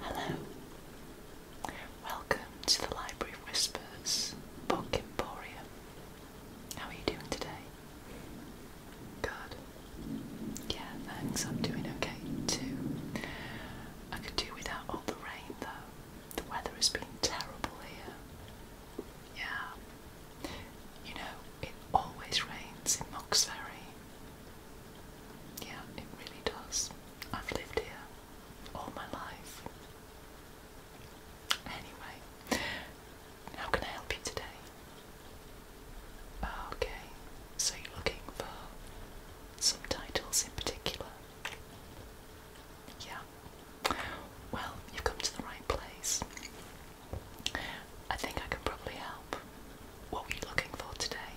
Hello. Welcome to the Library of Whispers Book Emporium. How are you doing today? Good. Yeah, thanks. I'm doing okay too. I could do without all the rain though. The weather has been terrible here. Yeah. You know, it always rains in Mox Ferry. Yeah, it really does. I've lived here all my life. Anyway, how can I help you today? Okay, so you're looking for some titles in particular. Yeah. Well, you've come to the right place. I think I can probably help. What were you looking for today?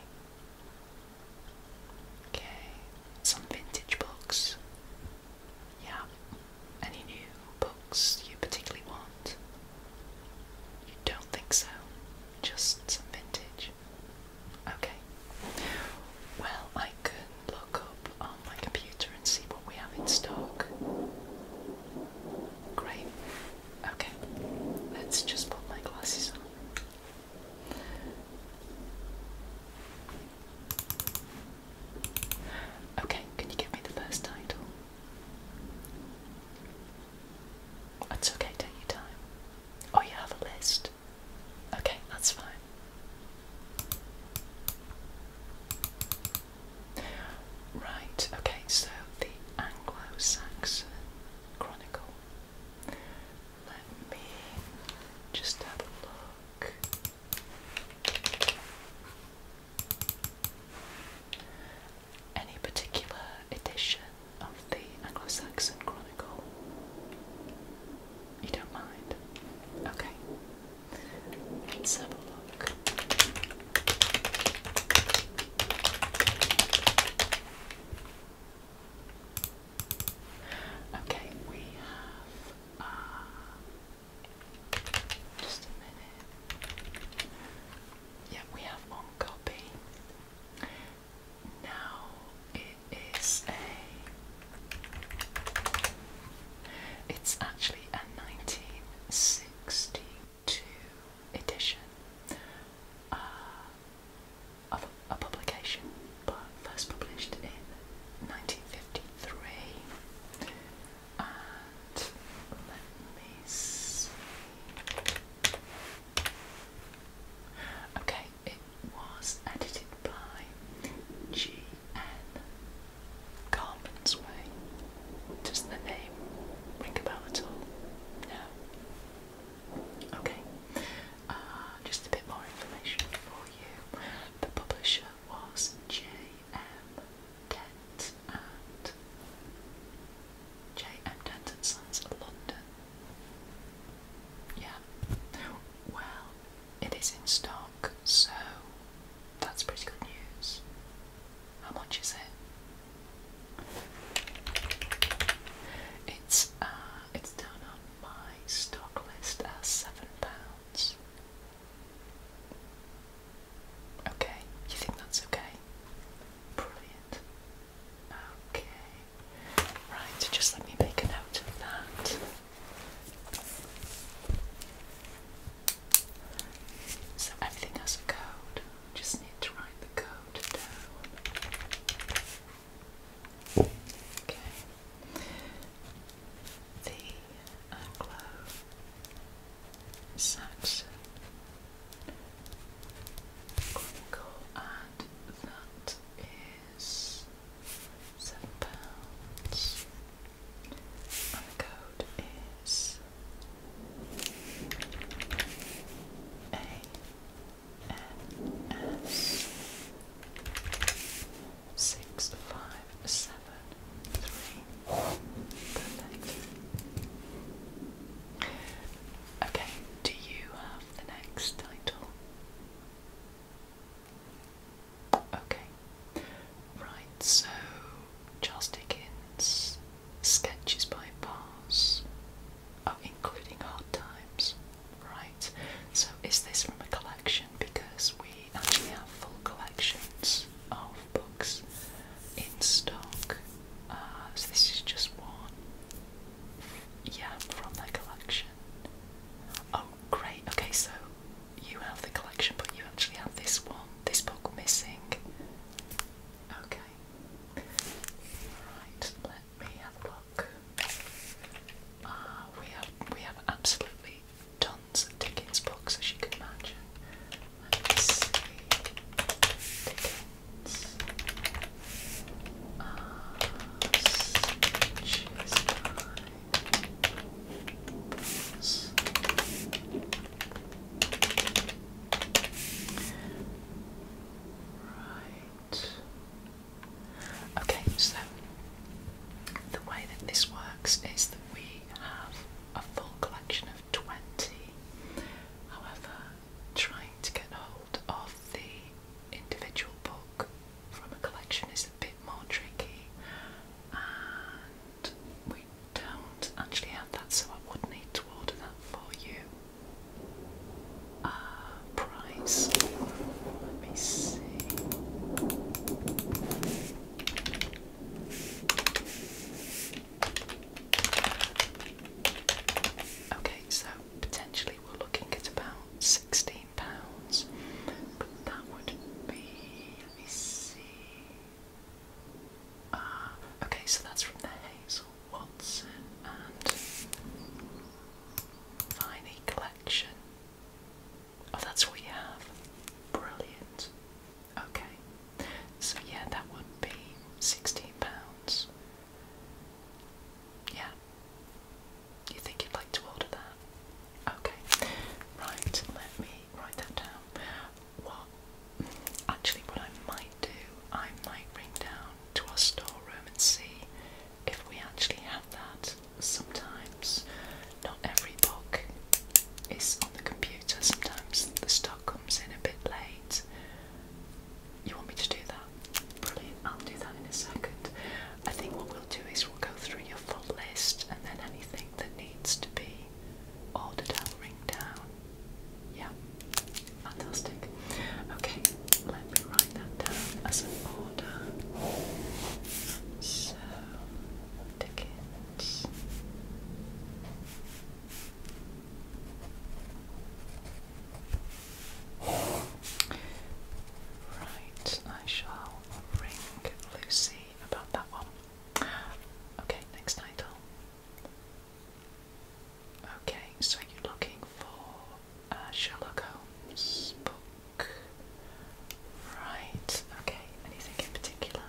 Okay, some vintage books. Yeah. Any new books you particularly want? You don't think so? Just some vintage. Okay. Well, I can look up on my computer and see what we have in stock. Great. Okay. Let's just put my glasses on. Okay, can you give me the first title? That's okay, take your time. Oh, you have a list. Okay, that's fine. Right, okay, so the Anglo Saxon Chronicle. Let me just have a look. Any particular edition of the Anglo Saxon Chronicle? You don't mind? Okay. have a look. Okay, we have uh, just a minute. Yeah, we have on copy now it is a. It's actually a 1962 edition uh, of a, publication, but first published in 1953. let me see. Okay, it was edited by G.N. Carpen's Way. Does the name ring a bell at all? No. Okay, uh, just a bit more information for you. The publisher was J.M. Dent and J.M. Dent and Sons, London. Yeah. Well, it is in stock, so that's pretty good news. How much is it? It's uh, it's down on my stock list as seven pounds. Okay, you think that's okay? Brilliant. Okay. Right, just let me make a note of that. So everything has a code. Just need to write the code Okay. The Anglo-Saxon uh, chronicle, and that is seven pounds. And the code is A N S six five seven three. Okay, do you have the next title? Okay. Right, so Charles Dickens sketches by bars. Oh, including hard times. Right. So is this from a collection? Because we actually have full collections of books in stock. Uh, so this is just one. Yeah, from their collection. Oh, great. Okay, so you have the collection, but you actually have this one, this book missing. Okay. Right, let me have a look. Ah, we have we have absolutely tons of Dickens books, as you can imagine. Let me see. Ah, uh, by Right. Okay, so the way that this works is that we have a full collection of 20. However, trying to get hold of the individual book from a collection is bit more tricky and we don't actually have that so I would need to order that for you. Uh, price, let me see. Okay, so potentially we're looking at about 16 pounds. But that would be let me see. Ah, okay, so that's from the Hazel Watson and Viney collection. Oh, that's what you have. Brilliant. Okay, so yeah, that would be sixteen pounds. Yeah, you think you'd like to order that? Okay. Right, let me write that down. What actually what I might do, I might ring down to our storeroom and see if we actually have that. Sometimes not every book is on the computer, sometimes the stock comes in a bit late. You want me to do that? Brilliant, I'll do that in a second. I think what do is we'll go through your full list and then anything that needs to be ordered I'll ring down. Yeah, fantastic. Okay, let me write that down as an order. So, tickets. Right, I shall ring Lucy about that one. Okay, next title. Okay, so you're looking for uh, Sherlock Holmes book. Right, okay, anything in particular?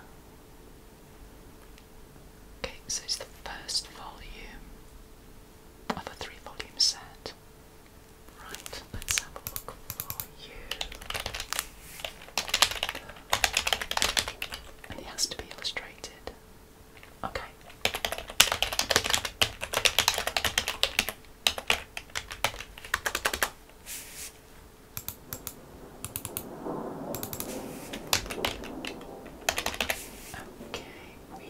Okay, so it's the first volume of a three volume set. Right, let's have a look for you. it has to be illustrated. Okay. Okay, we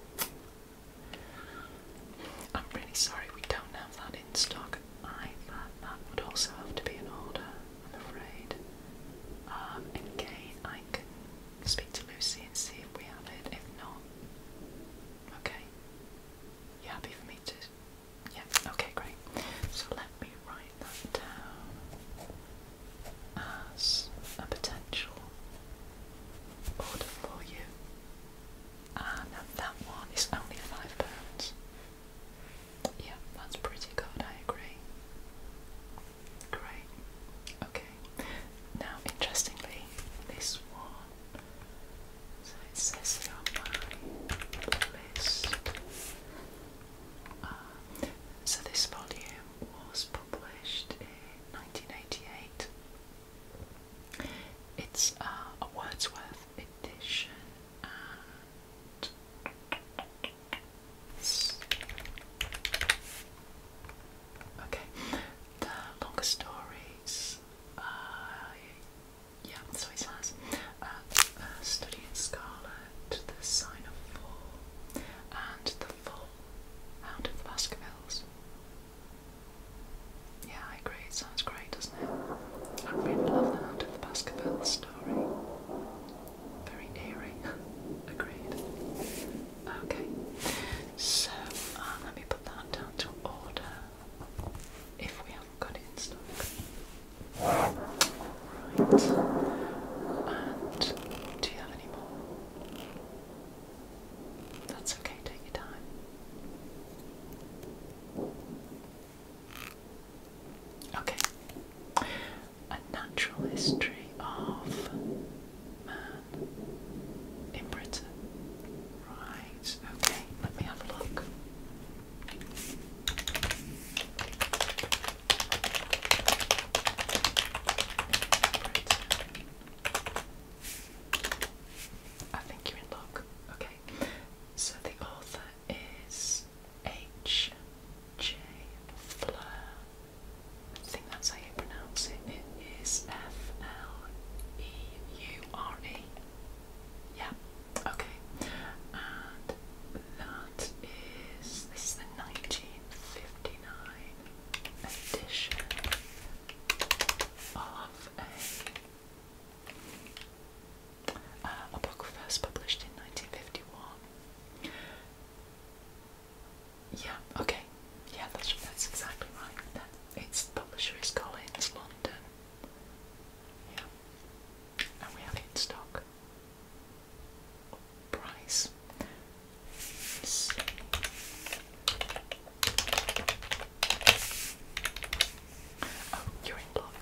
have I'm really sorry we don't have that in stock either. That would also have to be an order, I'm afraid. again, um, I can speak to Lucy and see if we have it. If not, okay. You happy for me to? Yeah, okay, great. So let me write that down as a potential order for you. And ah, that one is only five pounds. Yeah, that's pretty good, I agree. Great. Okay. Now interestingly, this one so it says here on my uh, so this volume was published in 1988 it's uh, a Wordsworth edition and okay, the longer stories. Uh, yeah, so it says Study in Scarlet, The Sign of Fall, and The Full Hound of the Baskervilles. Yeah, I agree. It sounds great, doesn't it? I really love the Hand of the Baskerville story. Very eerie. Agreed. Okay, so uh, let me put that down to order if we haven't got it in stock. Alright. And do you have any more? That's okay, take your time. Okay. A natural history of man in Britain. Right, okay, let me have a look. I think you're in luck. Okay. So the author is H. J. Fleur. I think that's how you pronounce it. It is F. L. E. U. R. E. Yeah. Okay. And that is this is the 1959 edition of uh, a, book first published in 1951. Yeah, okay. Yeah, that's, that's exactly right. That, its publisher is Collins, London. Yeah. And we have it in stock. Price. Oh, you block.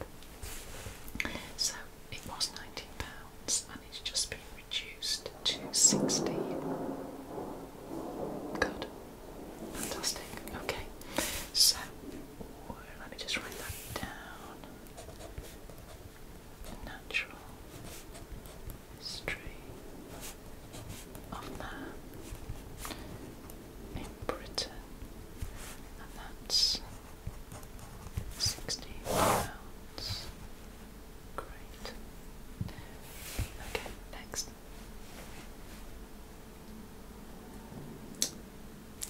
So it was nineteen pounds, and it's just been reduced to sixteen. Good, fantastic. Okay, so let me just write that down. Natural history of man in Britain, and that's sixty pounds. Great. Okay, next.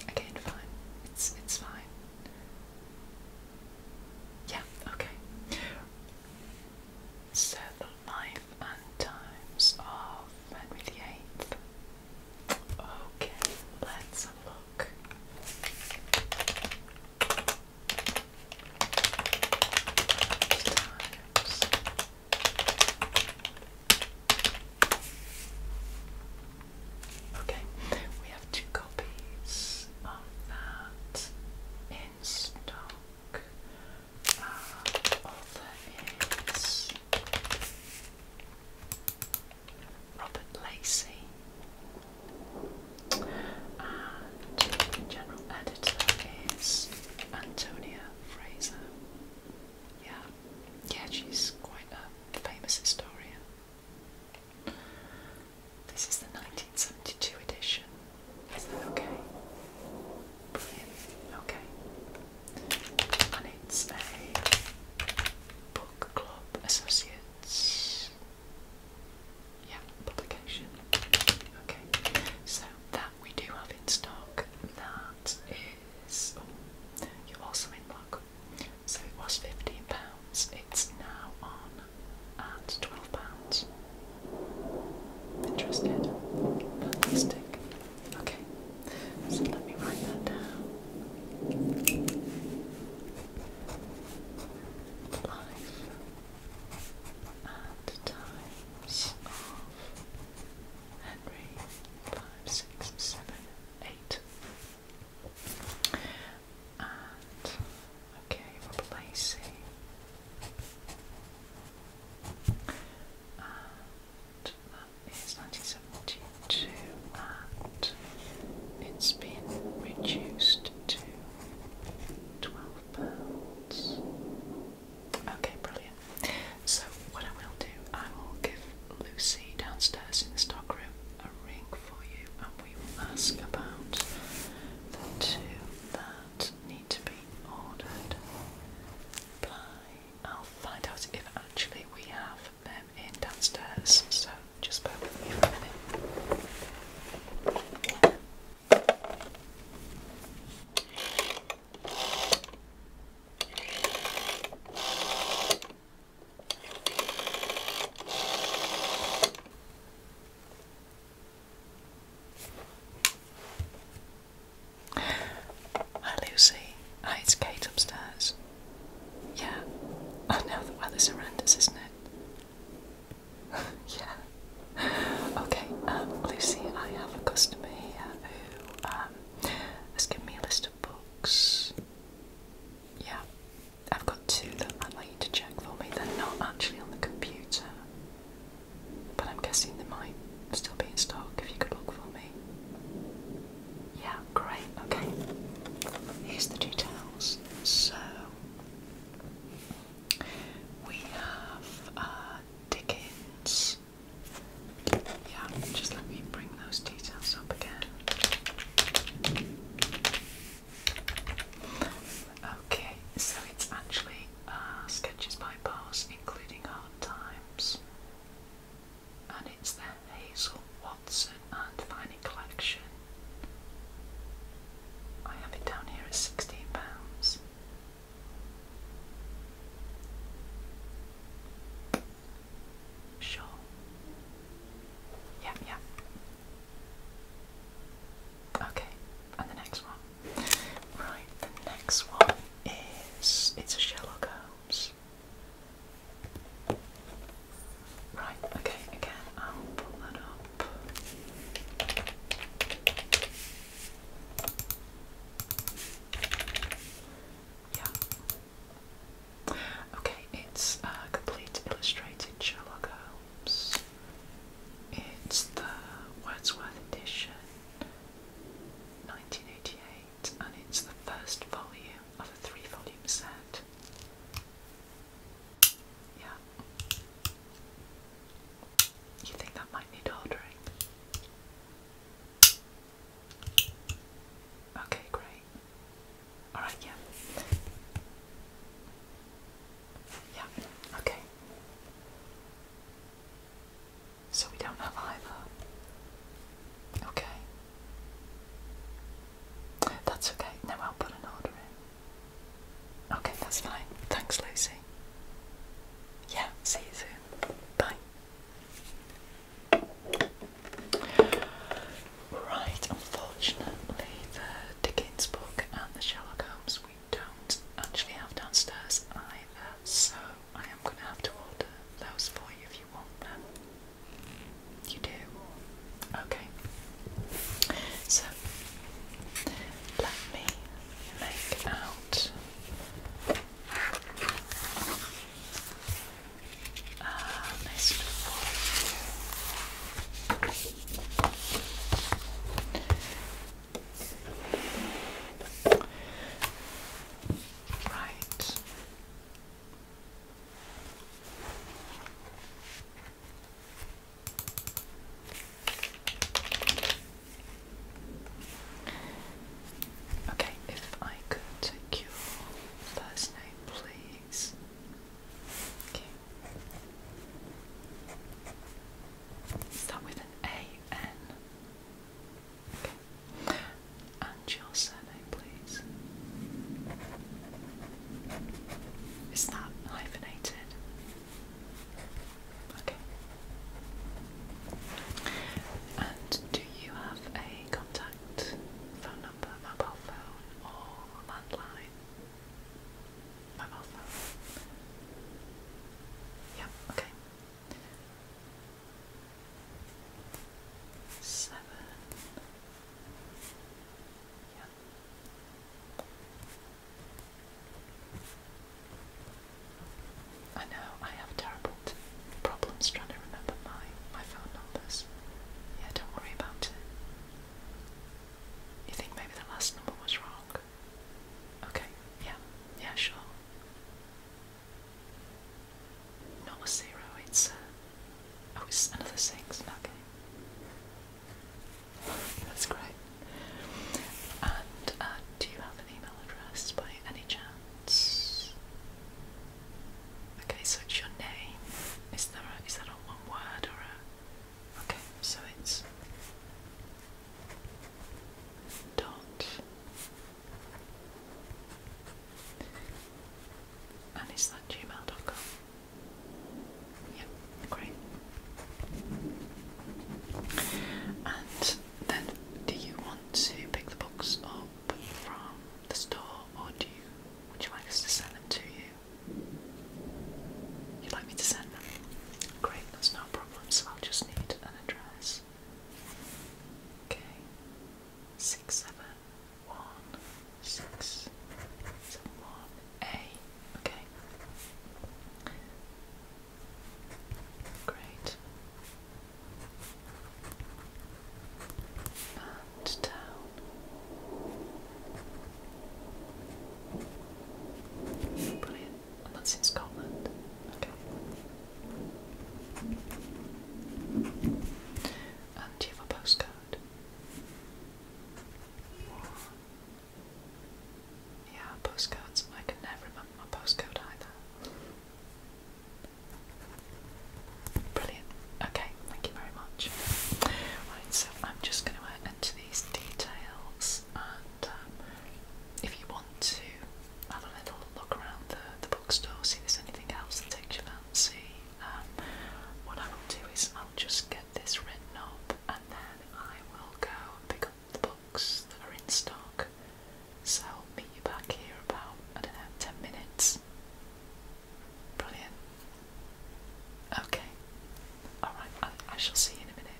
Again, fine. It's it's fine. Yeah. Okay. So the life and times of Henry VIII. Okay, let's look. Times. Okay, we have two copies of that in stock author uh, is Robert Lacey and general editor is Antonia Fraser. Yeah, yeah, she's quite a famous historian. This is the 1972 edition. Is that okay? Brilliant. Okay. And it's a book club associates. Yeah, publication. Okay. So that we do have in stock. That is oh, you're also in luck. So it was fifteen pounds. It's now on at twelve pounds interested. Plastic. Okay. So let me write that down. Life and times of Henry five, six, seven, eight. And okay, replacing and that is and it's been reduced to £12. Okay, brilliant. So, what I will do, I will give Lucy downstairs in the stockroom a ring for you, and we will ask about the two that need to be ordered. I'll find out if actually we have them in downstairs, so just bear with me for a minute. Hi Lucy. Hi, it's Kate upstairs. Yeah. Oh no, the weather's horrendous, isn't it? yeah. Okay, um, Lucy, I have a customer here who um, has given me a list of books. Yeah. I've got two that I'd like you to check for me. They're not actually on the computer. But I'm guessing they might still be in stock if you could look for me. Yeah, great, okay. Here's the details. So, we have Dickens. Uh, yeah, just let me bring those details up again. Okay, so it's actually uh, Sketches by Bars including Hard Times. And it's the Hazel Watson and Fanny collection. I have it down here at £16. Sure. Yep, yep. Okay, and the next one. Right, the next one is it's a Sherlock Holmes. Right, okay, again, I'll pull that up. Yeah. Okay, it's a complete illustrated Sherlock Holmes. It's the Wordsworth edition. 1988, and it's the first volume of a three volume set. Yeah. You think that might need ordering? Okay, great. Alright, yeah. Yeah, okay. So we don't have either. Okay. That's okay. Now I'll put an order in. Okay, that's fine. Thanks, Lucy. Yeah, see you soon. Bye. Right, unfortunately, the Dickens book and the Sherlock Holmes we don't actually have downstairs either, so I am going to have to order those for you if you want them. You do? Okay. So, let me make out uh, this for you. Right. Okay, if I could take your first name, please. Start with an A N. And your surname, please. Is that hyphenated? Okay. And do you have a contact phone number, mobile phone, or landline? Mobile phone. Yeah, okay seven. Yep. I know I have terrible problems trying to remember my my phone numbers. Yeah, don't worry about it. You think maybe the last number was wrong? Okay, yeah, yeah, sure. Not a zero, it's uh, oh, it's another six, okay. That's great. And uh, do you have an email address by any chance? Okay, so it's your name. Is there a, that a one word or a? Okay, so it's dot and it's that gmail.com? Yeah, great. And then do you want to pick the books up from the store or do you would you like us to send them to you? You'd like me to send them? Great, that's no problem. So I'll just need an address. Okay. Six seven one six seven one A. Okay. Great. And down. Brilliant. And that's in Scotland. Okay. And you have a postcode? Yeah, postcodes. I can never remember my postcode either. Brilliant. Okay, thank you very much. Right, so I'm just going to enter these details, and um, if you to have a little look around the, the bookstore, see if there's anything else that takes your fancy, um, what I will do is I'll just get this written up and then I will go pick up the books that are in stock. So I'll meet you back here about, I don't know, 10 minutes. Brilliant. Okay. Alright, I shall see you in a minute.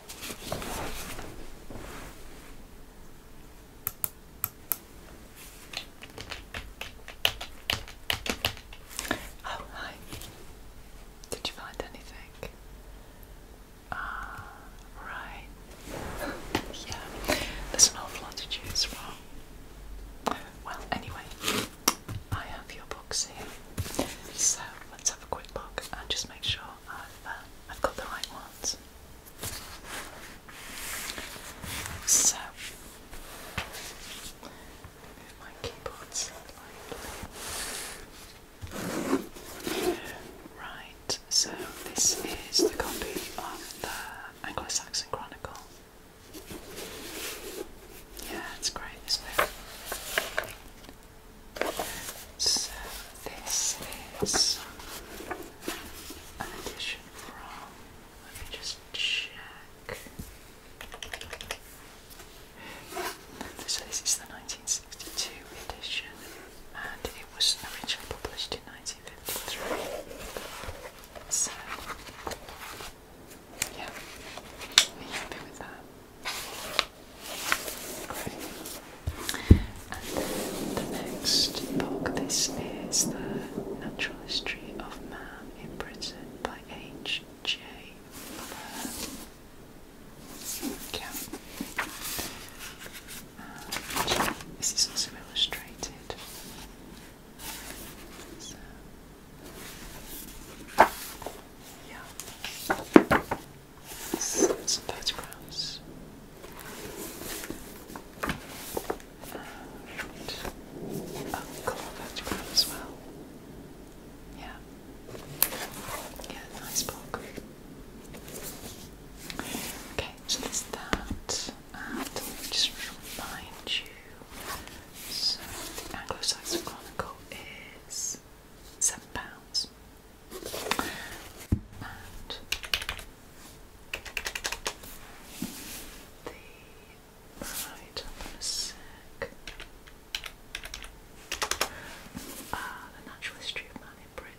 Oh, hi. Did you find anything? Ah, right. yeah, there's an awful lot to choose from. Well, anyway, I have your books here. So let's have a quick look and just make sure I've, got the right ones. So, Right, so this is the copy of the Anglo Saxon Chronicle. Yeah, it's great, so this is an edition from, let me just check. So this is the 1962 edition and it was originally published in 1953. So, yeah, are happy with that? And the next book, this is The Natural History of Man in Britain by H. J. this is also illustrated. yeah some photographs. And a colour photograph as well. Yeah. Yeah, nice book. Okay, so that. just remind you, the Anglo-Saxon Chronicle is £7 the right up Ah, the natural history of man in Britain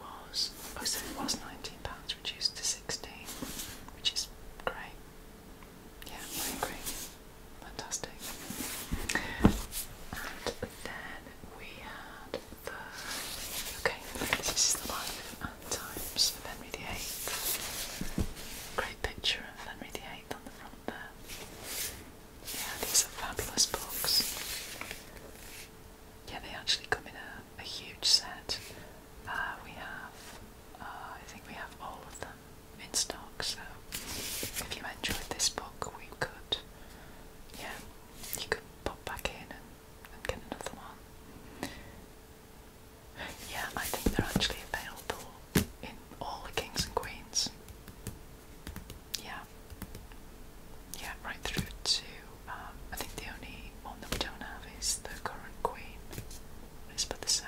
was oh so it was nineteen pounds reduced to sixteen, which is great. Yeah, I agree. Fantastic. And then we had Okay, this is the life and times of Henry VIII. Great picture of Henry VIII on the front there. Yeah, these are fabulous books. Yeah, they actually come in a, huge set. Uh, we have, uh, I think we have all of them in stock, so if you enjoyed this book, we could, yeah, you could pop back in and, get another one. Yeah, I think they're actually available in all the kings and queens. Yeah. Yeah, right through to um, I think the only one that we don't have is the current queen, Elizabeth the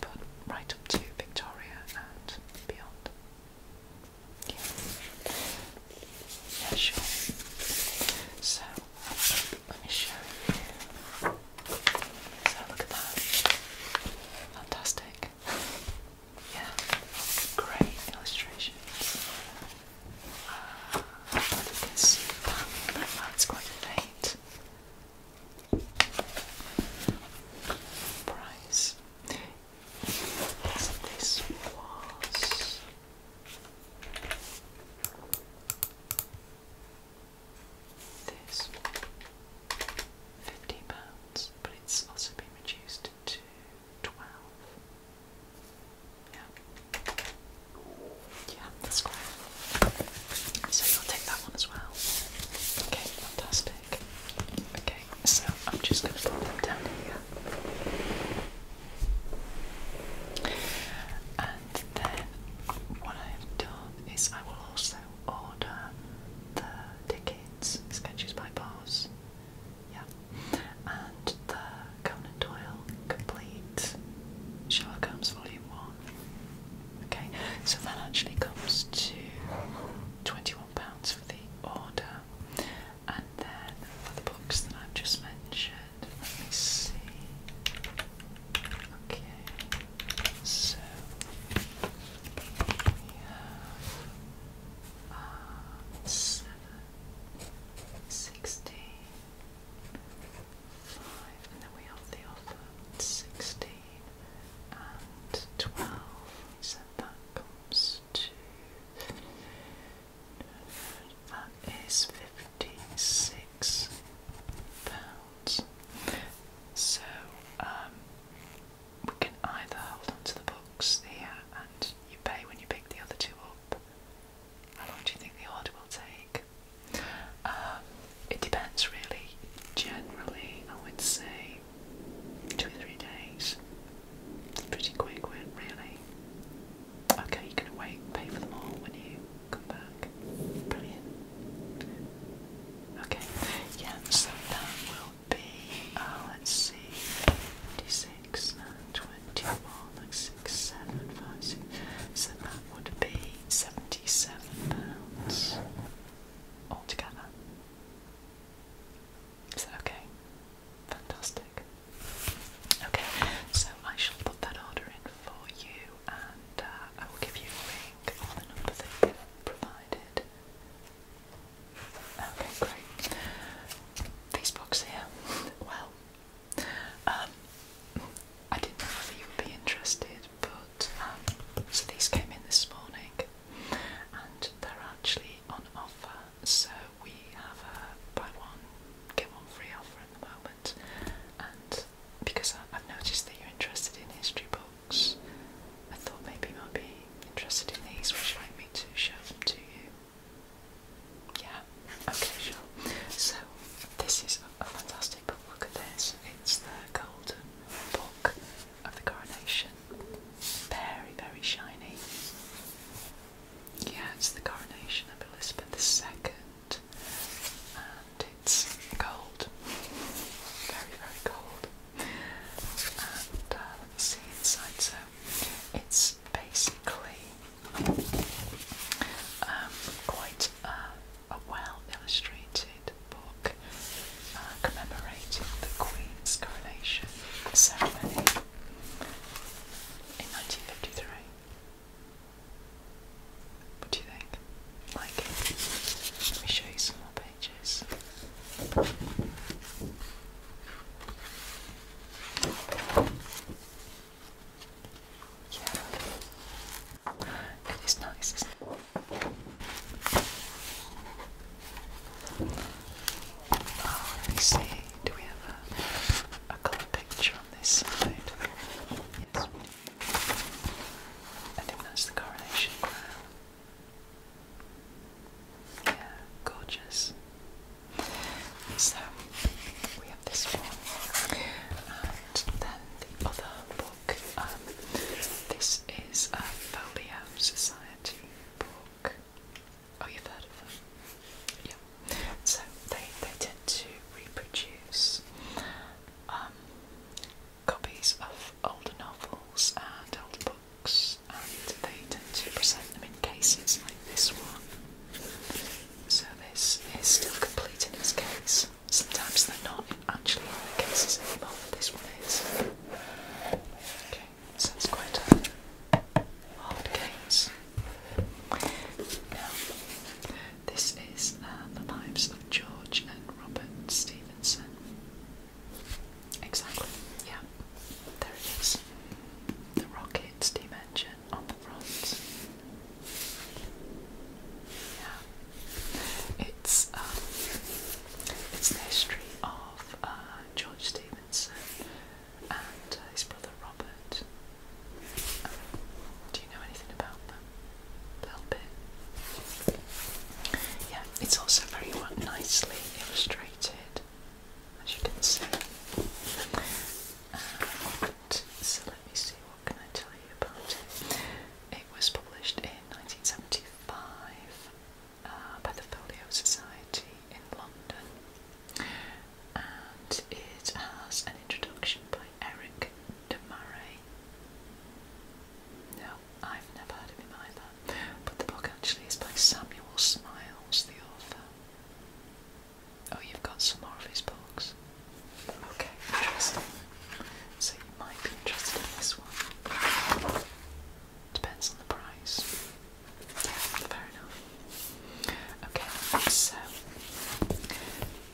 but right up to Victoria and beyond. Yeah, sure. So, let me show you. So, look at that. Fantastic. Yeah, great illustrations. Uh, ah, you can that's quite faint. Price. This was this fifty pounds, but it's also been reduced to twelve. Yeah, yeah, that's great. So you'll take that one as well. Okay, fantastic. Okay so I'm just going to put them down here. And then what I've done is I will also order the tickets, Sketches by Bars, yeah, and the Conan Doyle complete Sherlock Holmes Volume 1. Okay, so that actually comes to £21 for the order and then the books that I've just mentioned, let me see. Okay, so we have uh, 16, and then we have the offer 16 and 12. So that comes that is fifty-six pounds. So um, we can either hold on the books here and you pay when you pick the other two up. How long do you think the order will take? Um, it depends really. Generally, I would say two or three days. It's Pretty quick, were really? Okay, you can wait, pay for them all when you come back. Brilliant. Okay, yeah, so that will be, uh, let's see, Twenty six 9, 21, like 6, 7, 5, 6, so that would be £77 pounds altogether. Is that okay? Fantastic. Okay, so I shall put that order in for you and uh, I will give you a ring on the number that you provided. Okay, great. These books here, well, um, I didn't know whether you would be interested, but um, so these came in this morning and they're actually on offer so we have a buy one, get one free offer at the moment. And because I, have noticed that you're interested in history books, I thought maybe you might be interested in these. Would you like me to show them to you? Yeah, okay, So, this is a fantastic book. Look at this. It's the Golden Book of the Coronation. Very, very shiny. Yeah, it's the coronation of Elizabeth II, and it's cold, very, very cold. And uh, let me see inside. So it's basically um, quite a, well illustrated book uh, commemorating the Queen's coronation ceremony in 1953. What do you think? Like Let me show you some more pages. Yeah. It is nice, isn't it? Ah, let me see. Do we have a, a colour picture on this side? Yes, I think that's the coronation Yeah, gorgeous. So we have this one, and then the other book. Um, this is a Folio Society book. Oh, you've heard of them? Yeah. So they they tend to reproduce um, copies of older novels and older books, and they tend to present them in cases like this one. So this is still complete in its case. Sometimes they're not actually in the cases anymore, this one is. Okay. Sounds quite a hard case. this is uh, the lives of George and Robert Stevenson. Exactly, yeah. There it is. The rocket steam engine on the front. Yeah. It's um, it's the history of uh, George Stevenson and his brother Robert. Um, do you know anything about them? A little Yeah, it's also very nicely illustrated, as you can see. so let me see, what can I tell you about it? It was published in 1975 uh, by the Folio Society in London and it has an introduction by Eric DeMarais. No, I've never heard of him either, but the book actually is by Samuel Smiles, the author. Oh, you've got some more of his books. Okay, interesting. So you might be interested in this one. Depends on the price. Fair enough. Okay, so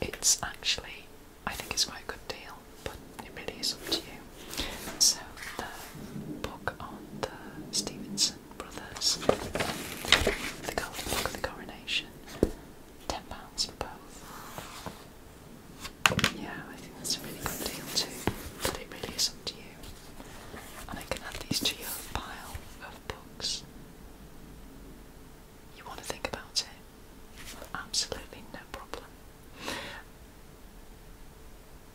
it's actually, I think it's quite a good deal, but it really is up to you. So the book on the Stevenson brothers, the Golden Book of the Coronation, ten pounds for both. Yeah, I think that's a really good deal too, but it really is up to you. And I can add these to your pile books. You want to think about it? Absolutely no problem.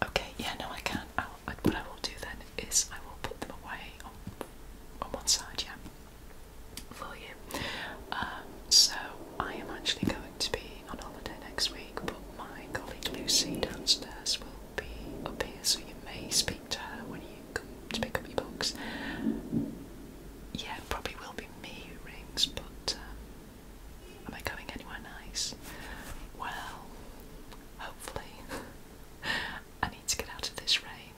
Okay, yeah, no, I can. I'll, what I will do then is I will put them away on, on one side, yeah, for you. Um, so I am actually going to be on holiday next week, but my colleague Lucy downstairs will be up here, so you may speak uh, when you come to pick up your books. Yeah, it probably will be me who rings, but um, am I going anywhere nice? Well, hopefully. I need to get out of this rain.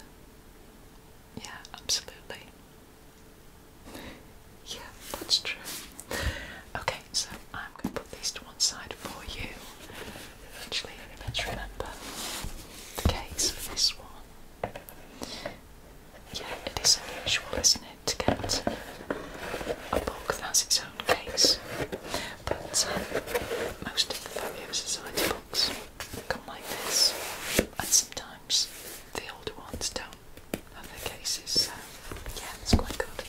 Yeah, absolutely. Yeah, that's true. Okay, so I'm going to put these to one side for you. Eventually, eventually remember the case for this one. Yeah, it is unusual, isn't it, to get a book that has its own case. But um, most of the Folio Society books come like this, and sometimes the older ones don't have their cases. So yeah, it's quite good.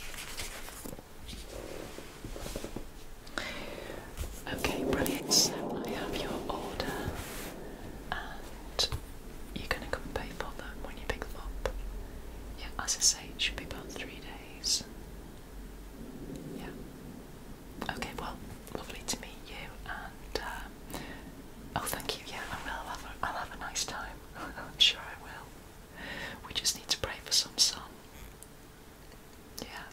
Okay, brilliant. So I have your order, and you're going to come and pay for them when you pick them up. Yeah, as I say, it should be about three days. Yeah. Okay, well, lovely to meet you, and uh, oh, thank you. Yeah, I am I'll i I'll have a nice time. I'm sure I will. We just need to pray for some sun. Yeah.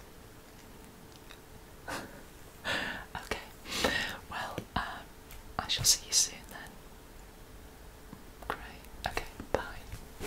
okay. Well, um, I shall see you soon then. Great. Okay, bye.